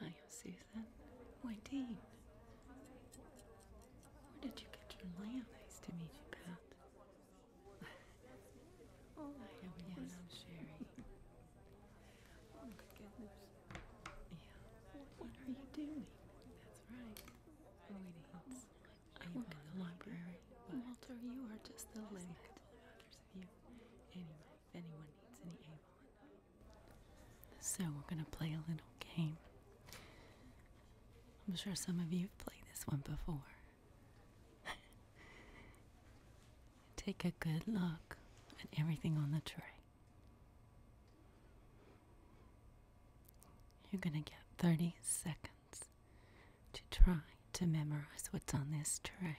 Hi, Susan. Why, Dean. Where did you get your lamp? Nice to meet you, Pat. oh, hi, oh, yes, I'm Sherry. oh, my goodness. Yeah. What are you doing? That's right. Waiting. Oh, I am in the library. Walter, you are just the lady. So we're going to play a little game. I'm sure some of you have played this one before. Take a good look at everything on the tray. You're going to get 30 seconds to try to memorize what's on this tray.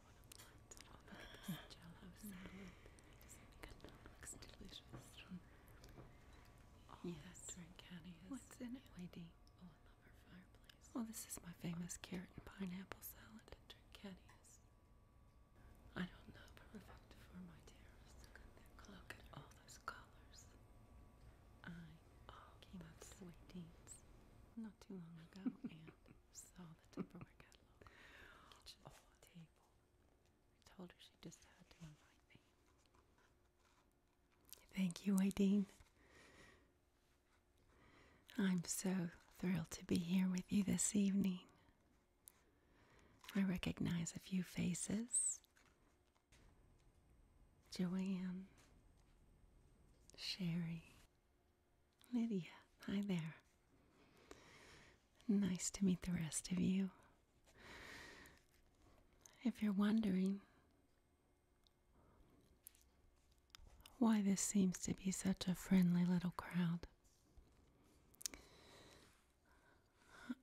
what I want. Oh, look at this jello salad. Doesn't it good? looks delicious. Oh, yes. that's where Caddy is. What's in it? Waiting. Oh, I love her fireplace. Oh, this is my famous carrot and pineapple salad. Caddy is. I don't know, but effective for my terrace. Look at that. Look at all those colors. I oh, came up to Waiting's not too long ago and saw the Tupperware catalog on table. Oh. told her she just had to invite me. Thank you, Aideen. I'm so thrilled to be here with you this evening. I recognize a few faces. Joanne, Sherry, Lydia, hi there. Nice to meet the rest of you. If you're wondering why this seems to be such a friendly little crowd,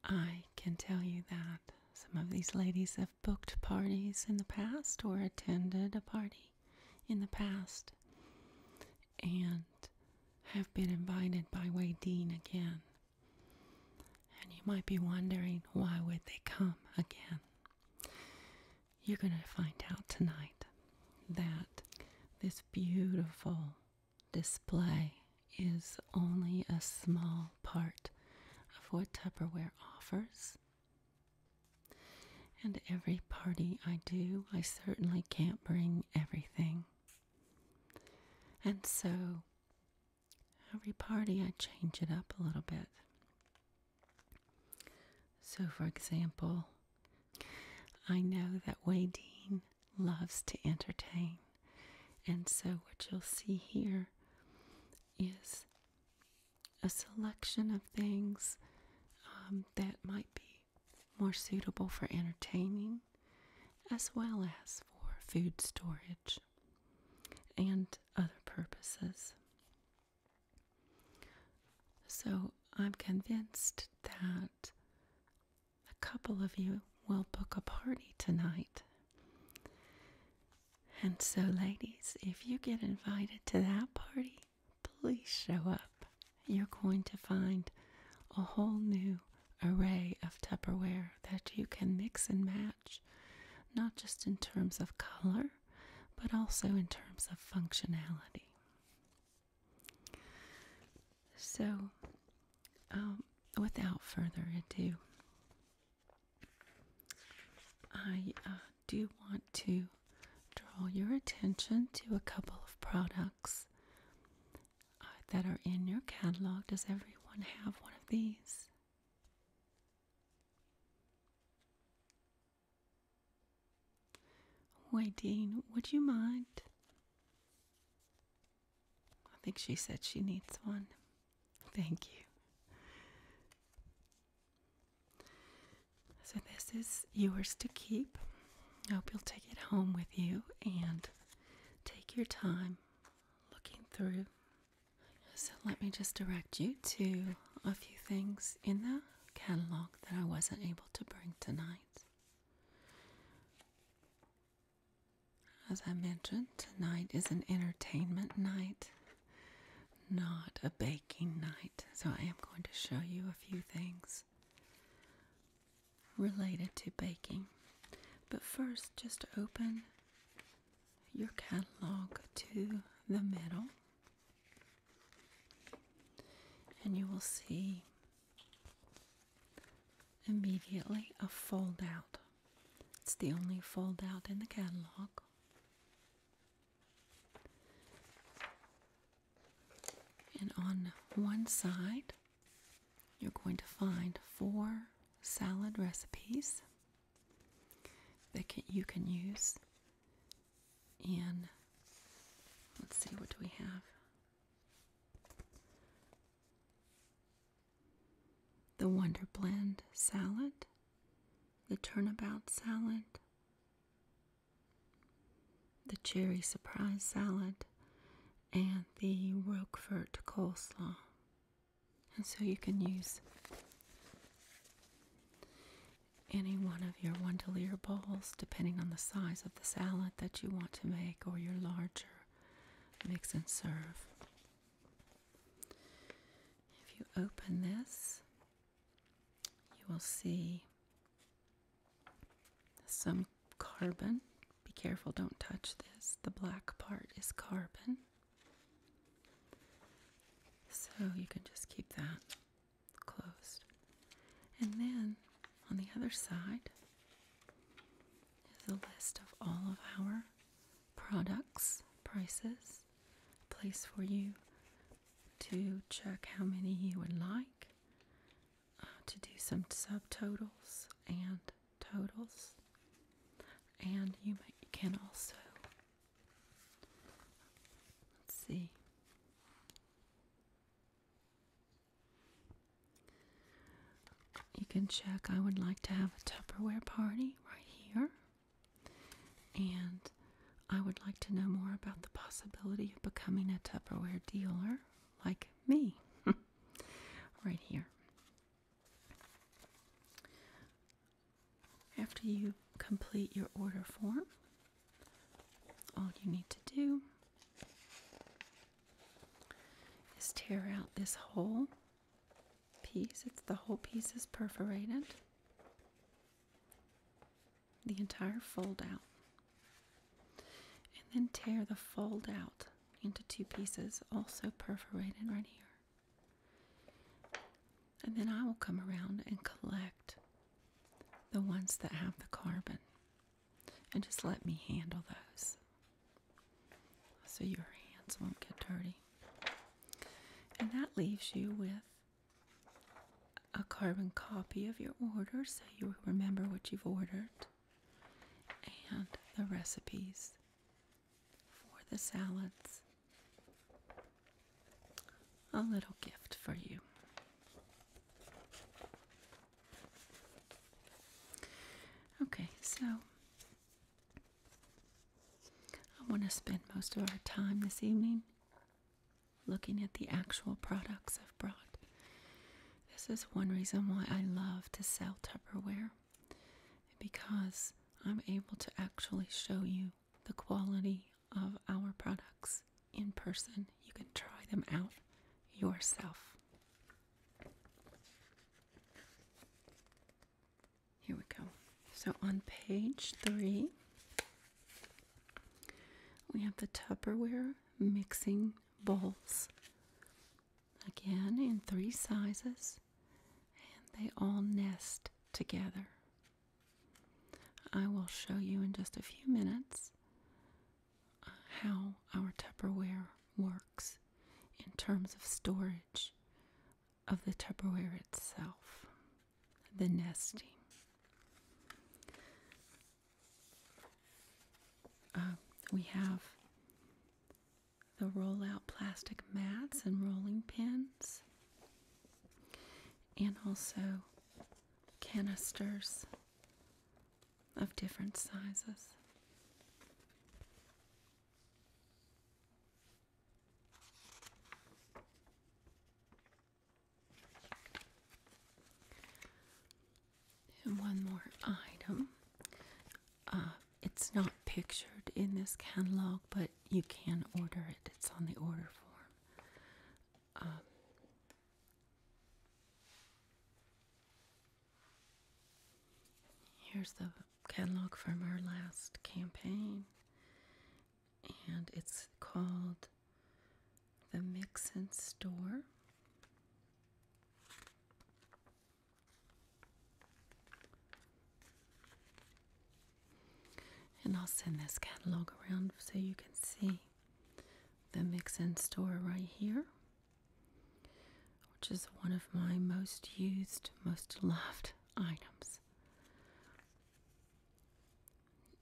I can tell you that some of these ladies have booked parties in the past or attended a party in the past and have been invited by Wadeen again. And you might be wondering why would they come again? You're going to find out tonight that this beautiful display is only a small part of what Tupperware offers and every party I do, I certainly can't bring everything. And so every party I change it up a little bit. So, for example, I know that Wadeen loves to entertain. And so, what you'll see here is a selection of things um, that might be more suitable for entertaining as well as for food storage and other purposes. So I'm convinced that a couple of you will book a party tonight. And so, ladies, if you get invited to that party, please show up. You're going to find a whole new array of Tupperware that you can mix and match, not just in terms of color, but also in terms of functionality. So, um, without further ado, I uh, do you want to draw your attention to a couple of products uh, that are in your catalog. Does everyone have one of these? Wait, Dean, would you mind? I think she said she needs one. Thank you. So, this is yours to keep. I hope you'll take it home with you and take your time looking through. So, let me just direct you to a few things in the catalog that I wasn't able to bring tonight. As I mentioned, tonight is an entertainment night not a baking night, so I am going to show you a few things related to baking. But first, just open your catalog to the middle, and you will see immediately a fold out. It's the only fold out in the catalog. And on one side, you're going to find four salad recipes that you can use And let's see, what do we have? The Wonder Blend salad, the Turnabout salad, the cherry surprise salad, and the Roquefort coleslaw. And so you can use any one of your Wondelier bowls, depending on the size of the salad that you want to make or your larger mix and serve. If you open this, you will see some carbon. Be careful, don't touch this. The black part is carbon. So you can just keep that closed. And then on the other side is a list of all of our products, prices, place for you to check how many you would like uh, to do some subtotals and totals. And you, you can also, let's see. You can check. I would like to have a Tupperware party right here. And I would like to know more about the possibility of becoming a Tupperware dealer like me. right here. After you complete your order form, all you need to do is tear out this whole piece. It's the whole piece is perforated the entire fold out and then tear the fold out into two pieces also perforated right here and then I will come around and collect the ones that have the carbon and just let me handle those so your hands won't get dirty and that leaves you with a carbon copy of your order so you remember what you've ordered and the recipes for the salads. A little gift for you. Okay, so I want to spend most of our time this evening looking at the actual products I've brought. This is one reason why I love to sell Tupperware because I'm able to actually show you the quality of our products in person. You can try them out yourself. Here we go. So on page three, we have the Tupperware mixing bowls. Again, in three sizes, and they all nest together. I will show you in just a few minutes how our Tupperware works in terms of storage of the Tupperware itself the nesting. Um, we have the roll out plastic mats and rolling pins, and also canisters of different sizes. And one more item. Uh, it's not pictured in this catalog, but you can order it. It's on the order form. Uh, here's the catalog from our last campaign and it's called the Mix and Store. And I'll send this catalog around so you can see the Mix and Store right here, which is one of my most used, most loved items.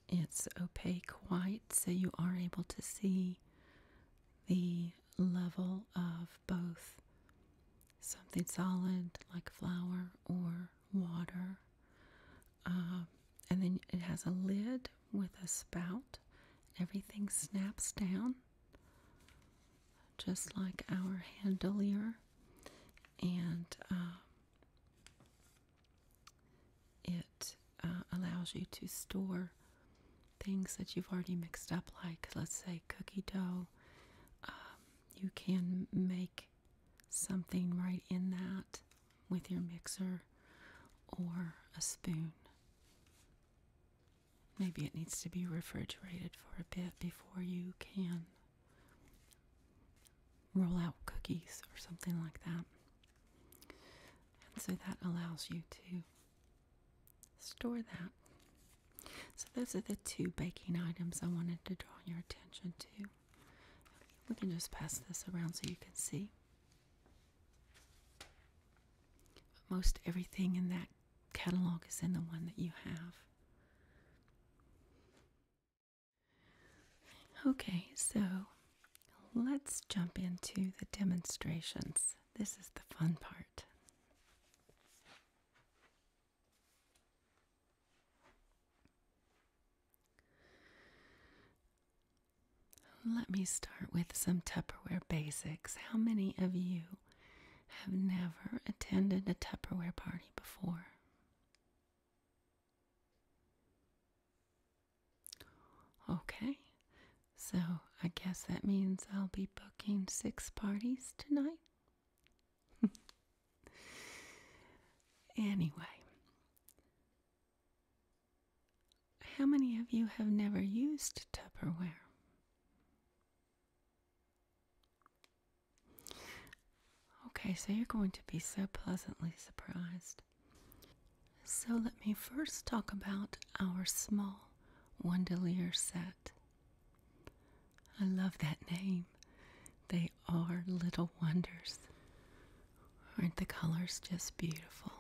It's opaque white, so you are able to see the level of both something solid like flour or water. Um, and then it has a lid with a spout. Everything snaps down just like our handelier. And um, it uh, allows you to store things that you've already mixed up, like let's say cookie dough. Um, you can make something right in that with your mixer or a spoon. Maybe it needs to be refrigerated for a bit before you can roll out cookies or something like that. And so that allows you to store that. So those are the two baking items I wanted to draw your attention to. We can just pass this around so you can see. Most everything in that catalog is in the one that you have. Okay, so let's jump into the demonstrations. This is the fun part. Let me start with some Tupperware basics. How many of you have never attended a Tupperware party before? Okay, so I guess that means I'll be booking six parties tonight. anyway, how many of you have never used Tupperware? Okay, so you're going to be so pleasantly surprised. So, let me first talk about our small Wandelier set. I love that name. They are little wonders. Aren't the colors just beautiful?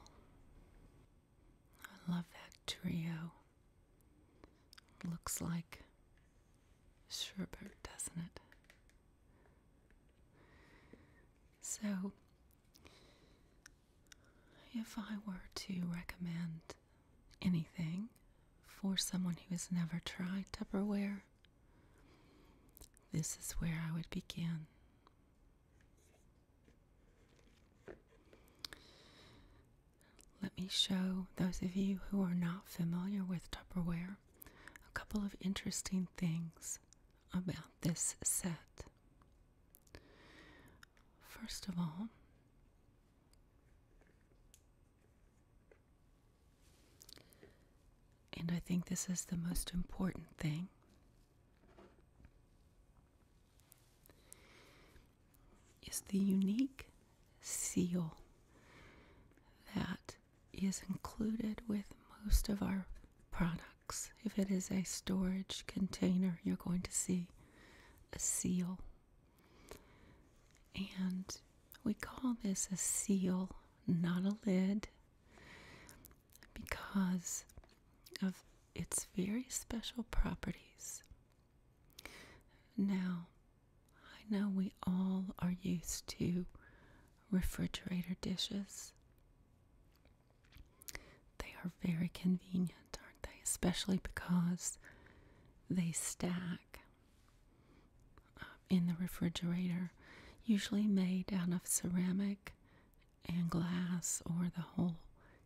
I love that trio. Looks like Sherbert, doesn't it? So, if I were to recommend anything for someone who has never tried Tupperware, this is where I would begin. Let me show those of you who are not familiar with Tupperware a couple of interesting things about this set. First of all, and I think this is the most important thing. Is the unique seal that is included with most of our products. If it is a storage container, you're going to see a seal. And we call this a seal, not a lid, because of its very special properties. Now, I know we all are used to refrigerator dishes. They are very convenient, aren't they? Especially because they stack um, in the refrigerator, usually made out of ceramic and glass, or the whole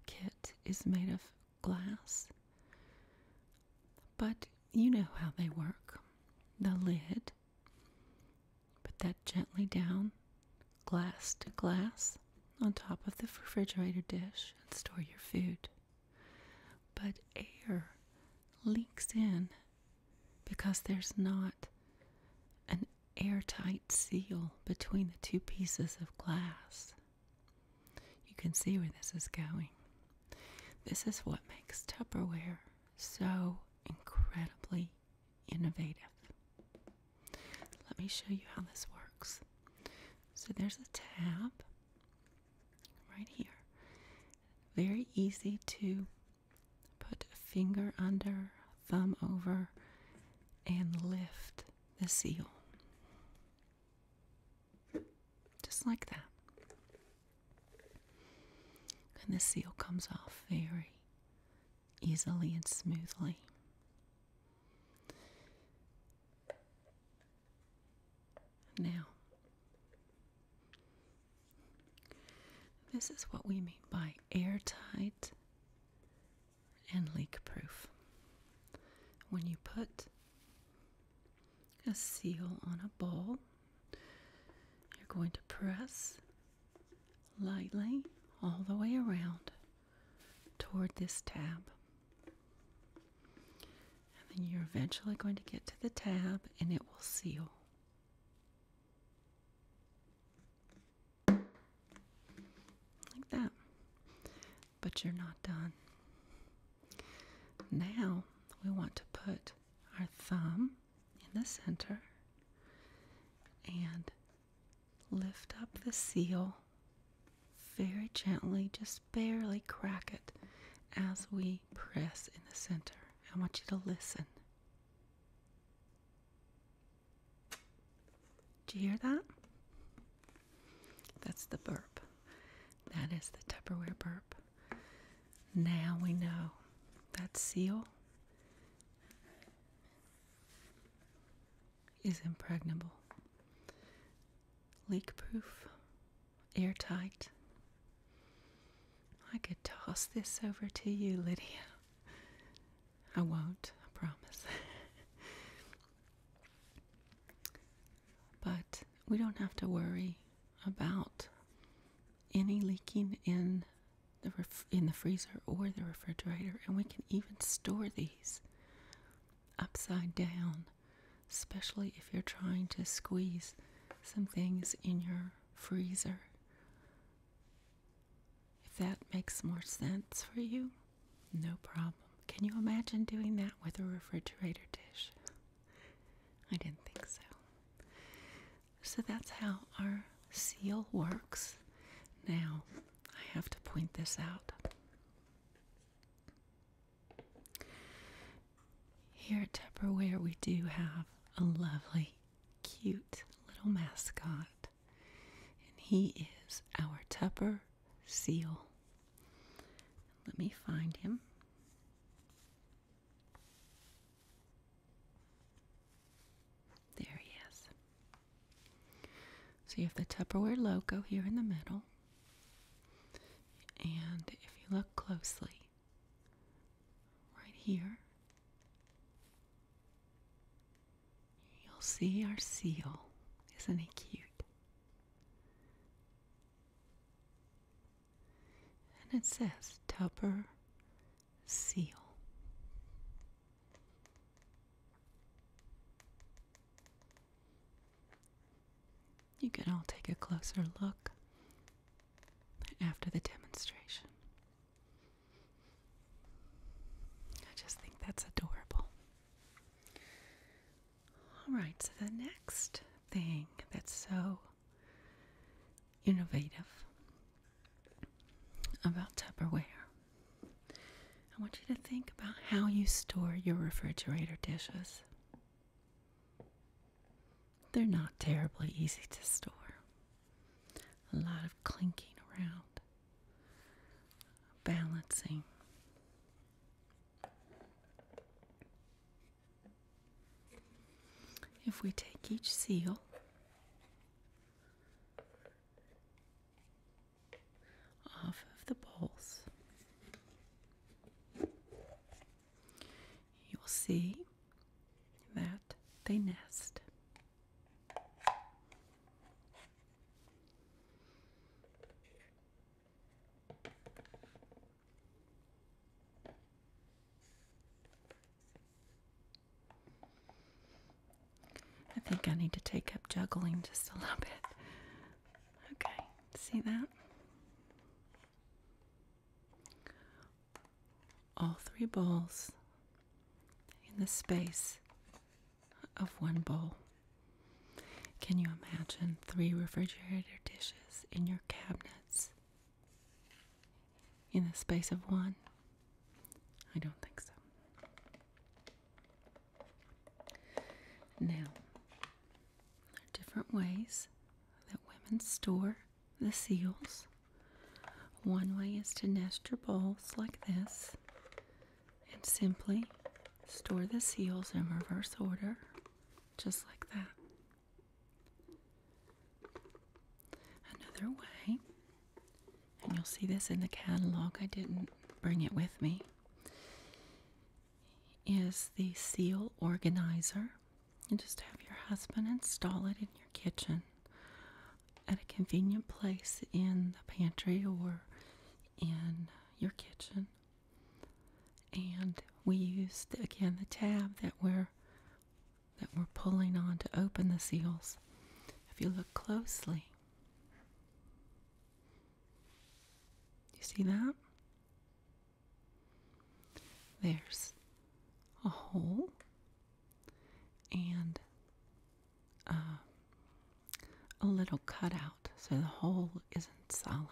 kit is made of glass. But you know how they work. The lid Put that gently down, glass to glass, on top of the refrigerator dish and store your food. But air leaks in because there's not an airtight seal between the two pieces of glass. You can see where this is going. This is what makes Tupperware so incredibly innovative. Let me show you how this works. So there's a tab right here. Very easy to put finger under, thumb over, and lift the seal. Just like that. And the seal comes off very easily and smoothly. Now, this is what we mean by airtight and leakproof. When you put a seal on a bowl, you're going to press lightly all the way around toward this tab. And then you're eventually going to get to the tab and it will seal. Like that. But you're not done. Now we want to put our thumb in the center and lift up the seal very gently, just barely crack it as we press in the center. I want you to listen. Do you hear that? That's the burp. That is the Tupperware burp. Now we know that seal is impregnable, leakproof, airtight. I could toss this over to you, Lydia. I won't, I promise. but we don't have to worry about any leaking in the in the freezer or the refrigerator, and we can even store these upside down, especially if you're trying to squeeze some things in your freezer. If that makes more sense for you, no problem. Can you imagine doing that with a refrigerator dish? I didn't think so. So that's how our seal works. Now, I have to point this out. Here at Tupperware, we do have a lovely, cute little mascot, and he is our Tupper seal. Let me find him. There he is. So you have the Tupperware logo here in the middle. And if you look closely, right here, you'll see our seal. Isn't he cute? and it says Tupper Seal. You can all take a closer look after the demonstration. I just think that's adorable. All right, so the next thing that's so innovative about Tupperware. I want you to think about how you store your refrigerator dishes. They're not terribly easy to store. A lot of clinking around, balancing. If we take each seal, off of the bowls, you'll see that they nest. I think I need to take up juggling just a little bit. Okay, see that? All three bowls in the space of one bowl. Can you imagine three refrigerator dishes in your cabinets in the space of one? I don't think so. Now, there are different ways that women store the seals. One way is to nest your bowls like this and simply store the seals in reverse order, just like that. Another way, and you'll see this in the catalog, I didn't bring it with me, is the seal organizer. You just have your husband install it in your kitchen at a convenient place in the pantry or in your kitchen. And we use again the tab that we're that we're pulling on to open the seals. If you look closely, you see that? There's a hole and uh, a little cutout, so the hole isn't solid.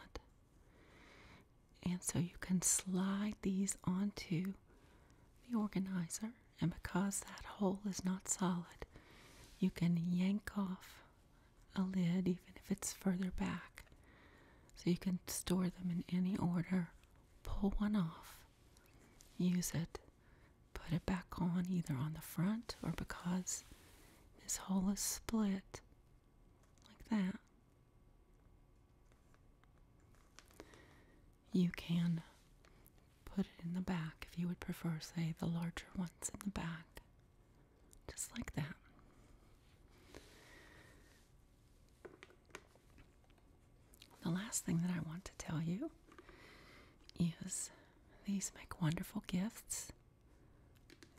And so you can slide these onto the organizer. And because that hole is not solid, you can yank off a lid even if it's further back. So you can store them in any order, pull one off, use it, put it back on either on the front or because this hole is split like that. You can put it in the back if you would prefer, say, the larger ones in the back, just like that. The last thing that I want to tell you is these make wonderful gifts.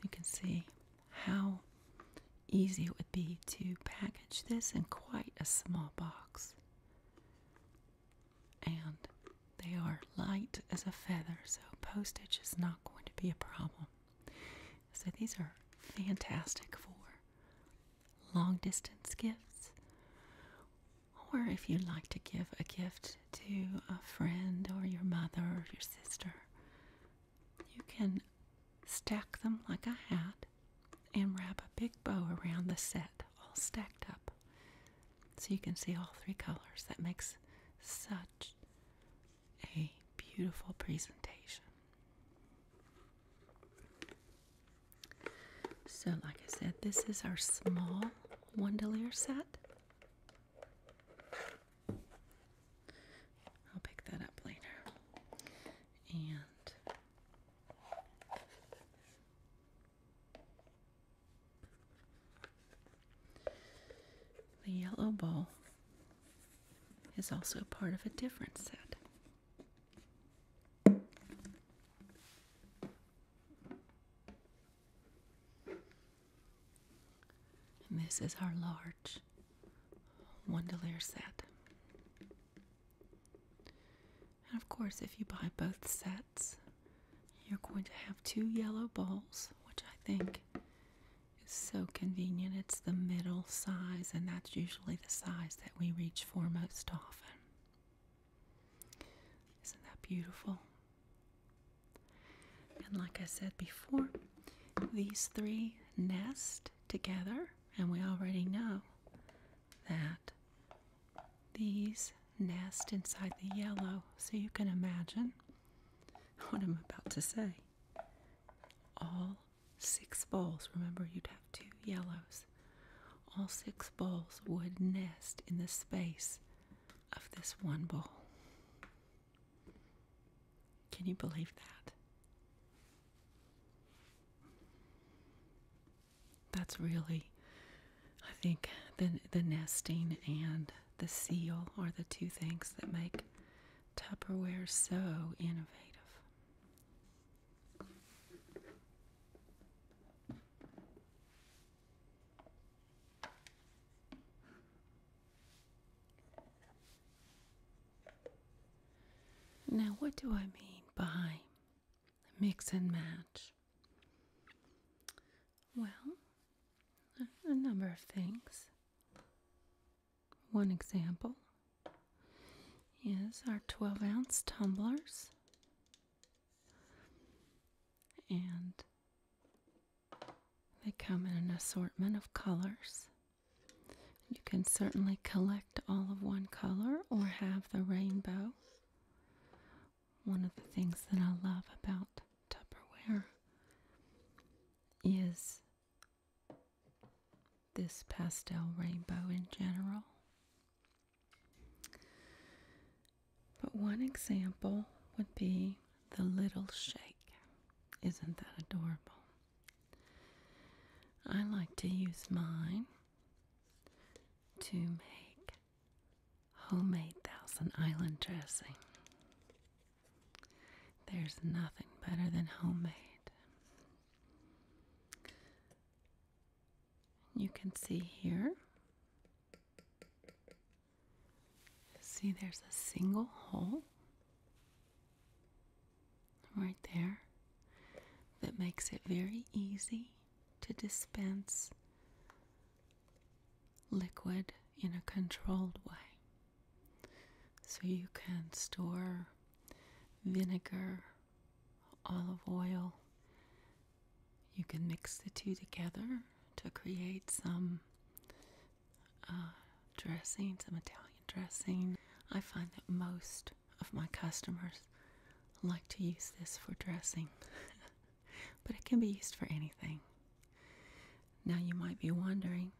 You can see how easy it would be to package this in quite a small box. And they are light as a feather, so postage is not going to be a problem. So these are fantastic for long distance gifts, or if you'd like to give a gift to a friend or your mother or your sister, you can stack them like a hat and wrap a big bow around the set, all stacked up. So you can see all three colors. That makes such a beautiful presentation. So, like I said, this is our small Wandelier set. I'll pick that up later and the yellow bowl is also part of a different set. And this is our large Wondelier set. And of course, if you buy both sets, you're going to have two yellow balls, which I think is so convenient. It's the middle size, and that's usually the size that we reach for most often. Isn't that beautiful? And like I said before, these three nest together and we already know that these nest inside the yellow. So you can imagine what I'm about to say. All six balls. remember you'd have two yellows, all six balls would nest in the space of this one ball. Can you believe that? That's really, I think, the, the nesting and the seal are the two things that make Tupperware so innovative. Now, what do I mean by mix and match? Well, a number of things. One example is our 12 ounce tumblers and they come in an assortment of colors you can certainly collect all of one color or have the rainbow. One of the things that I love about Tupperware is this pastel rainbow in general. But one example would be the little shake. Isn't that adorable? I like to use mine to make homemade Thousand Island dressing. There's nothing better than homemade. You can see here. See, there's a single hole right there that makes it very easy to dispense liquid in a controlled way. So you can store vinegar, olive oil. You can mix the two together to create some uh, dressing, some Italian dressing. I find that most of my customers like to use this for dressing, but it can be used for anything. Now, you might be wondering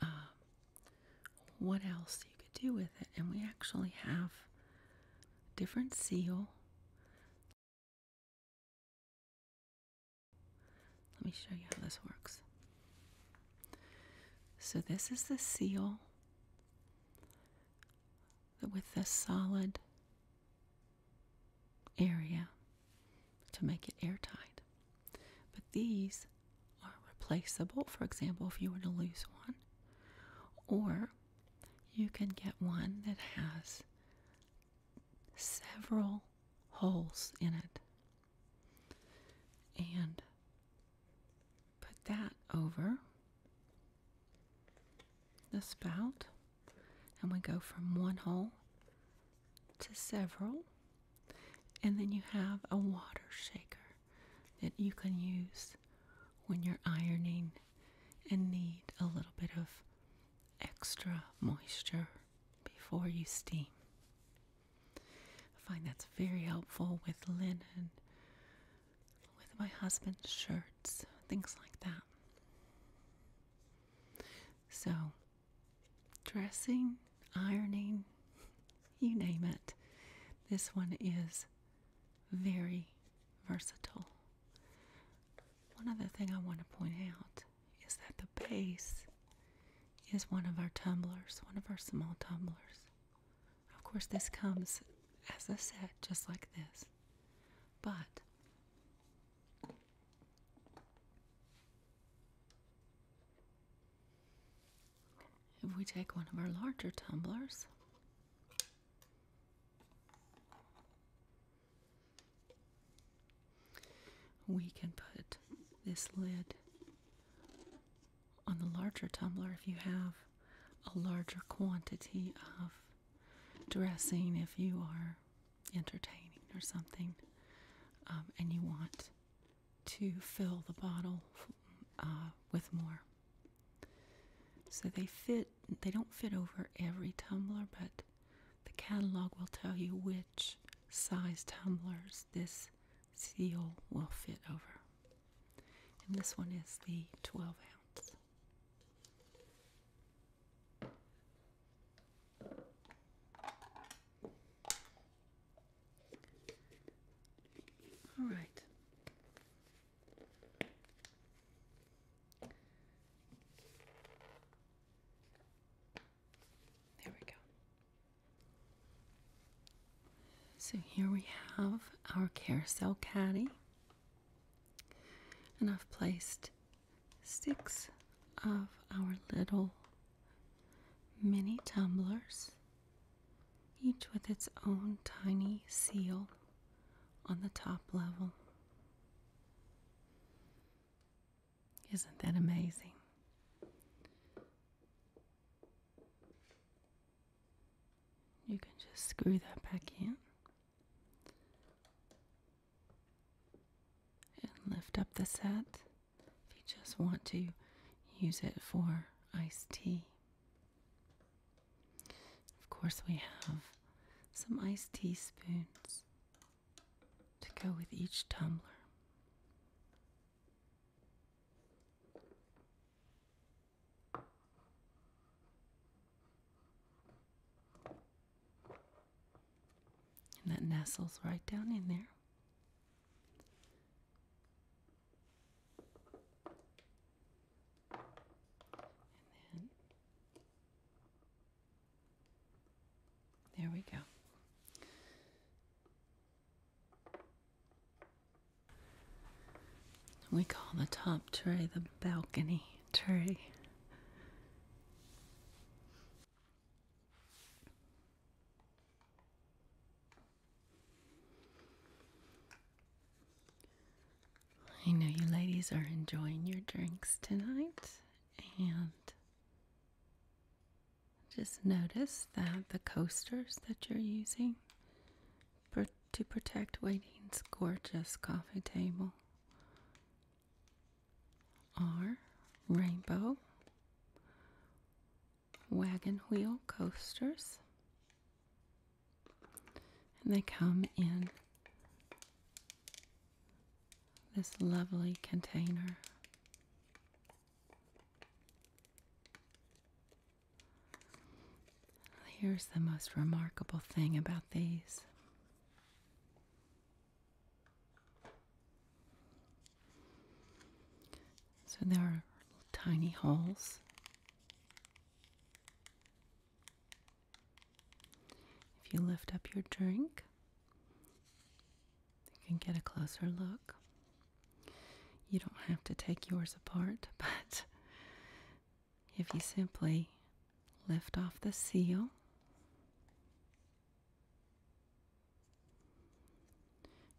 uh, what else you could do with it, and we actually have different seal let me show you how this works. So, this is the seal with the solid area to make it airtight. But these are replaceable, for example, if you were to lose one, or you can get one that has several holes in it and put that over the spout, and we go from one hole to several, and then you have a water shaker that you can use when you're ironing and need a little bit of extra moisture before you steam. I find that's very helpful with linen, with my husband's shirts, things like that. So, dressing, ironing, you name it, this one is very versatile. One other thing I want to point out is that the base is one of our tumblers, one of our small tumblers. Of course, this comes as a set just like this, but if we take one of our larger tumblers, we can put this lid on the larger tumbler if you have a larger quantity of dressing, if you are entertaining or something, um, and you want to fill the bottle uh, with more. So they fit, they don't fit over every tumbler, but the catalog will tell you which which size tumblers this seal will fit over. And this one is the 12 ounce. All right. There we go. So here we have our carousel caddy, and I've placed six of our little mini tumblers, each with its own tiny seal on the top level. Isn't that amazing? You can just screw that back in and lift up the set if you just want to use it for iced tea. Of course, we have some iced tea spoons to go with each tumbler. And that nestles right down in there. And then there we go. We call the top tray the balcony tray. I know you ladies are enjoying your drinks tonight, and just notice that the coasters that you're using to protect Waiting's gorgeous coffee table are rainbow wagon wheel coasters. And they come in this lovely container. Here's the most remarkable thing about these. So there are tiny holes. If you lift up your drink, you can get a closer look. You don't have to take yours apart, but if you simply lift off the seal,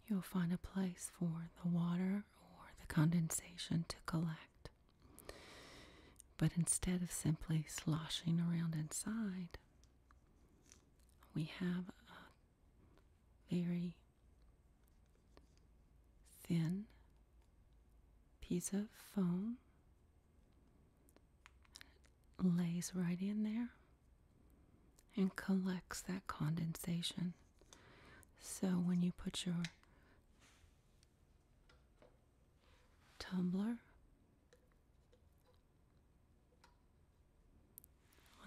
you'll find a place for the water or the condensation to collect. But instead of simply sloshing around inside, we have a very thin piece of foam lays right in there and collects that condensation. So when you put your tumbler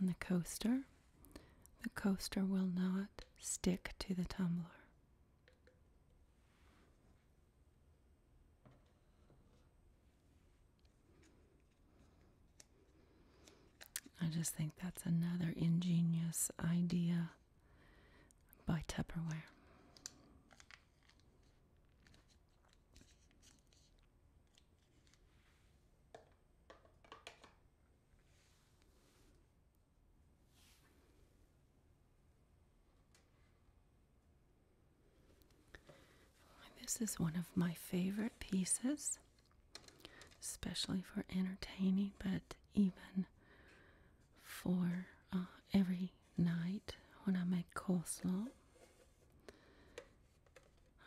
on the coaster, the coaster will not stick to the tumbler. I just think that's another ingenious idea by Tupperware. This is one of my favorite pieces, especially for entertaining, but even for uh, every night when I make coleslaw.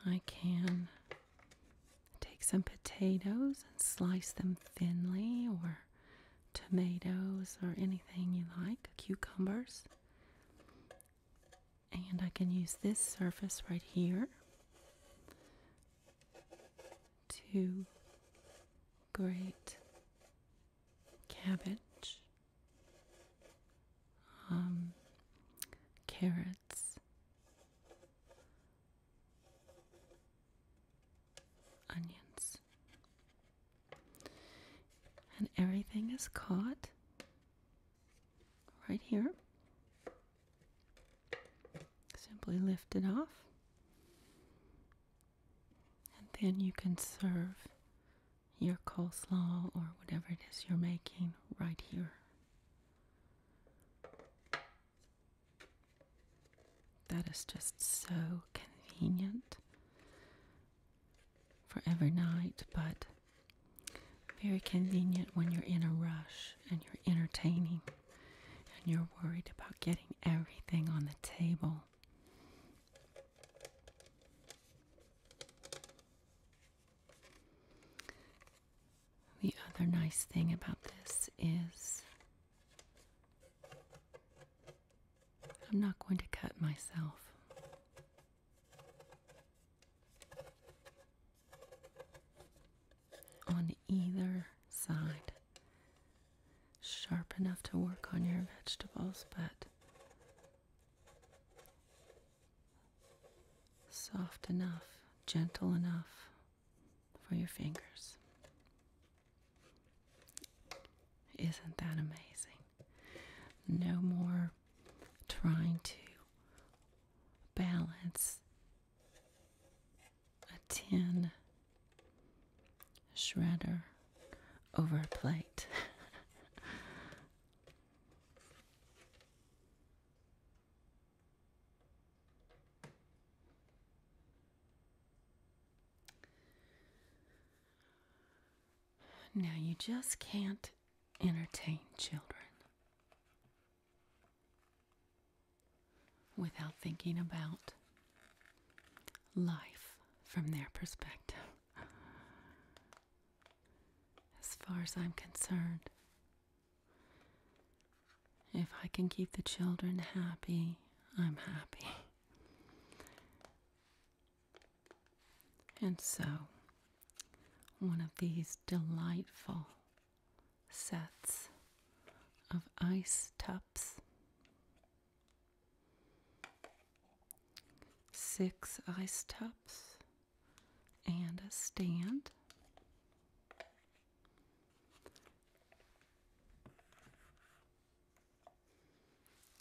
I can take some potatoes and slice them thinly, or tomatoes, or anything you like, cucumbers. And I can use this surface right here to grate cabbage um, carrots, onions, and everything is caught right here. Simply lift it off, and then you can serve your coleslaw or whatever it is you're making right here. That is just so convenient for every night, but very convenient when you're in a rush and you're entertaining and you're worried about getting everything on the table. The other nice thing about this is I'm not going to cut myself. On either side. Sharp enough to work on your vegetables, but soft enough, gentle enough for your fingers. Isn't that amazing? No more trying to balance a tin shredder over a plate. Now, you just can't entertain children without thinking about life from their perspective as far as I'm concerned. If I can keep the children happy, I'm happy. And so, one of these delightful sets of ice tubs. Six ice tubs and a stand.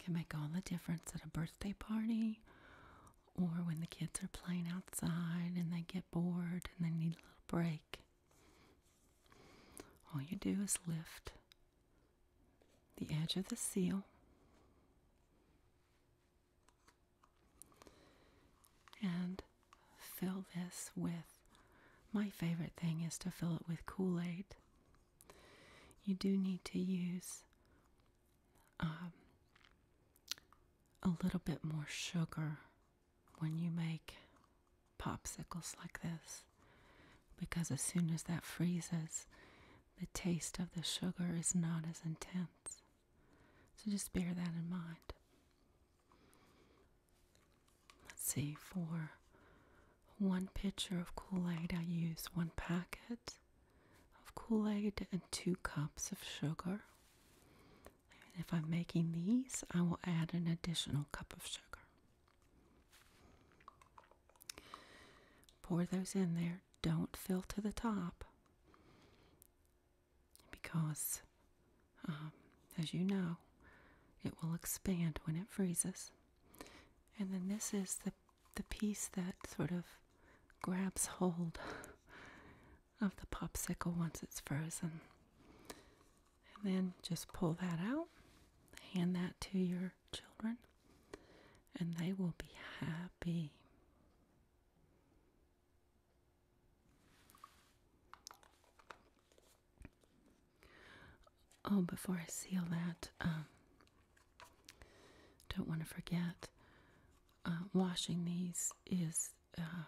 Can make all the difference at a birthday party or when the kids are playing outside and they get bored and they need a little break. All you do is lift the edge of the seal and fill this with my favorite thing is to fill it with Kool Aid. You do need to use um, a little bit more sugar when you make popsicles like this because as soon as that freezes, the taste of the sugar is not as intense. So just bear that in mind. Let's see, for one pitcher of Kool Aid, I use one packet of Kool Aid and two cups of sugar. if I'm making these, I will add an additional cup of sugar. Pour those in there don't fill to the top because, um, as you know, it will expand when it freezes. And then this is the, the piece that sort of grabs hold of the popsicle once it's frozen. And then just pull that out, hand that to your children, and they will be happy. Oh, before I seal that, um, don't want to forget uh, washing these is uh,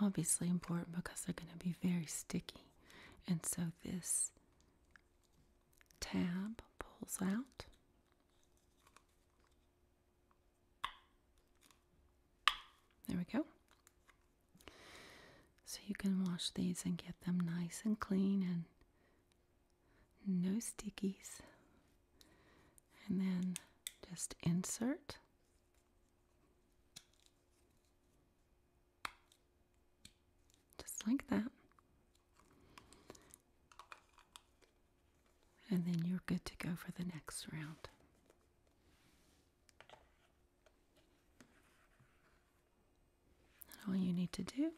obviously important because they're going to be very sticky. And so this tab pulls out there we go. So you can wash these and get them nice and clean and no stickies. And then just insert. Just like that and then you're good to go for the next round. all you need to do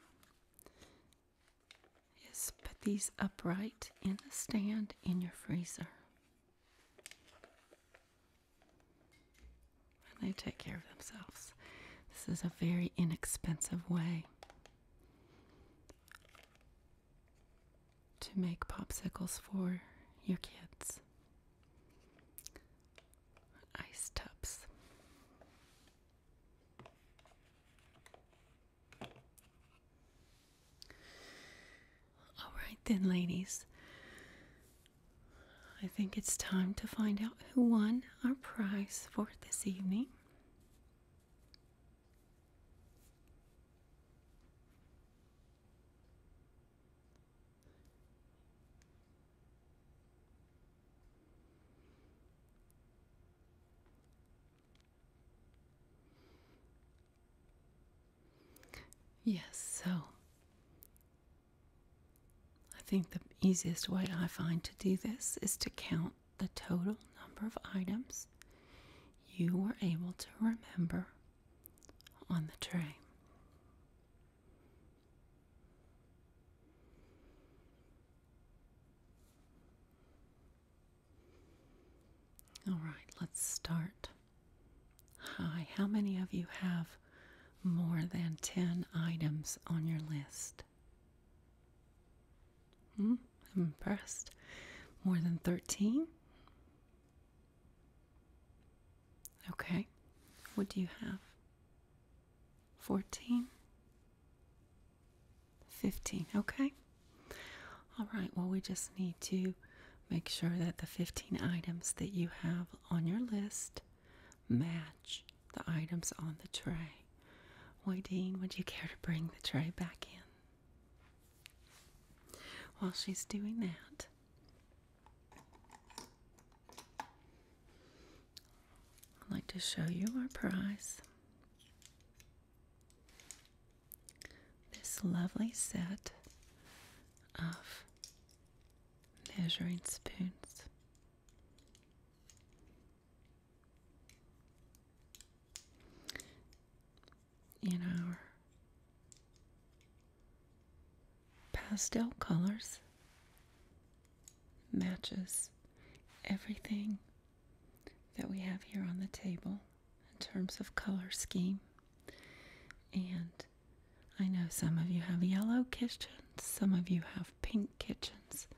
is put these upright in the stand in your freezer. And they take care of themselves. This is a very inexpensive way to make popsicles for your kids. Ice tubs. All right, then, ladies. I think it's time to find out who won our prize for this evening. Yes, so I think the easiest way I find to do this is to count the total number of items you were able to remember on the tray. All right, let's start. Hi, how many of you have more than 10 items on your list? Hmm? I'm impressed. More than 13? Okay. What do you have? 14? 15. Okay. All right. Well, we just need to make sure that the 15 items that you have on your list match the items on the tray. Why, Dean? would you care to bring the tray back in? While she's doing that, I'd like to show you our prize. This lovely set of measuring spoons in our pastel colors matches everything that we have here on the table in terms of color scheme. And I know some of you have yellow kitchens, some of you have pink kitchens,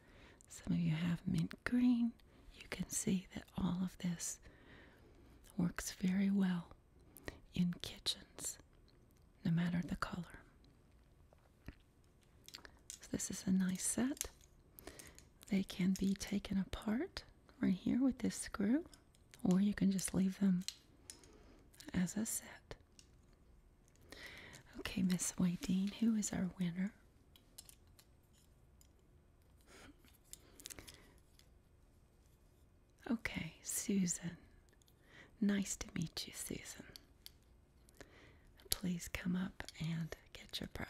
some of you have mint green. You can see that all of this works very well in kitchens, no matter the color. So this is a nice set. They can be taken apart right here with this screw, or you can just leave them as a set. Okay, Miss Waydeen, who is our winner Okay, Susan. Nice to meet you, Susan. Please come up and get your prize.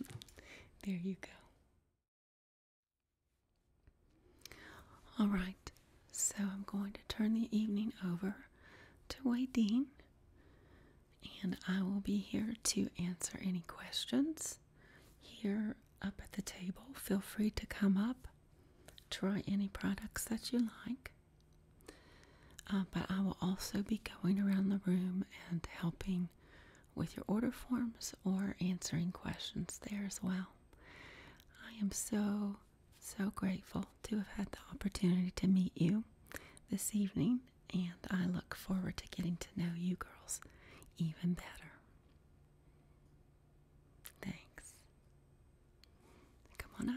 there you go. All right, so I'm going to turn the evening over to Wadeen, and I will be here to answer any questions here up at the table. Feel free to come up, try any products that you like. Uh, but I will also be going around the room and helping with your order forms or answering questions there as well. I am so so grateful to have had the opportunity to meet you this evening, and I look forward to getting to know you girls even better. Thanks. Come on up.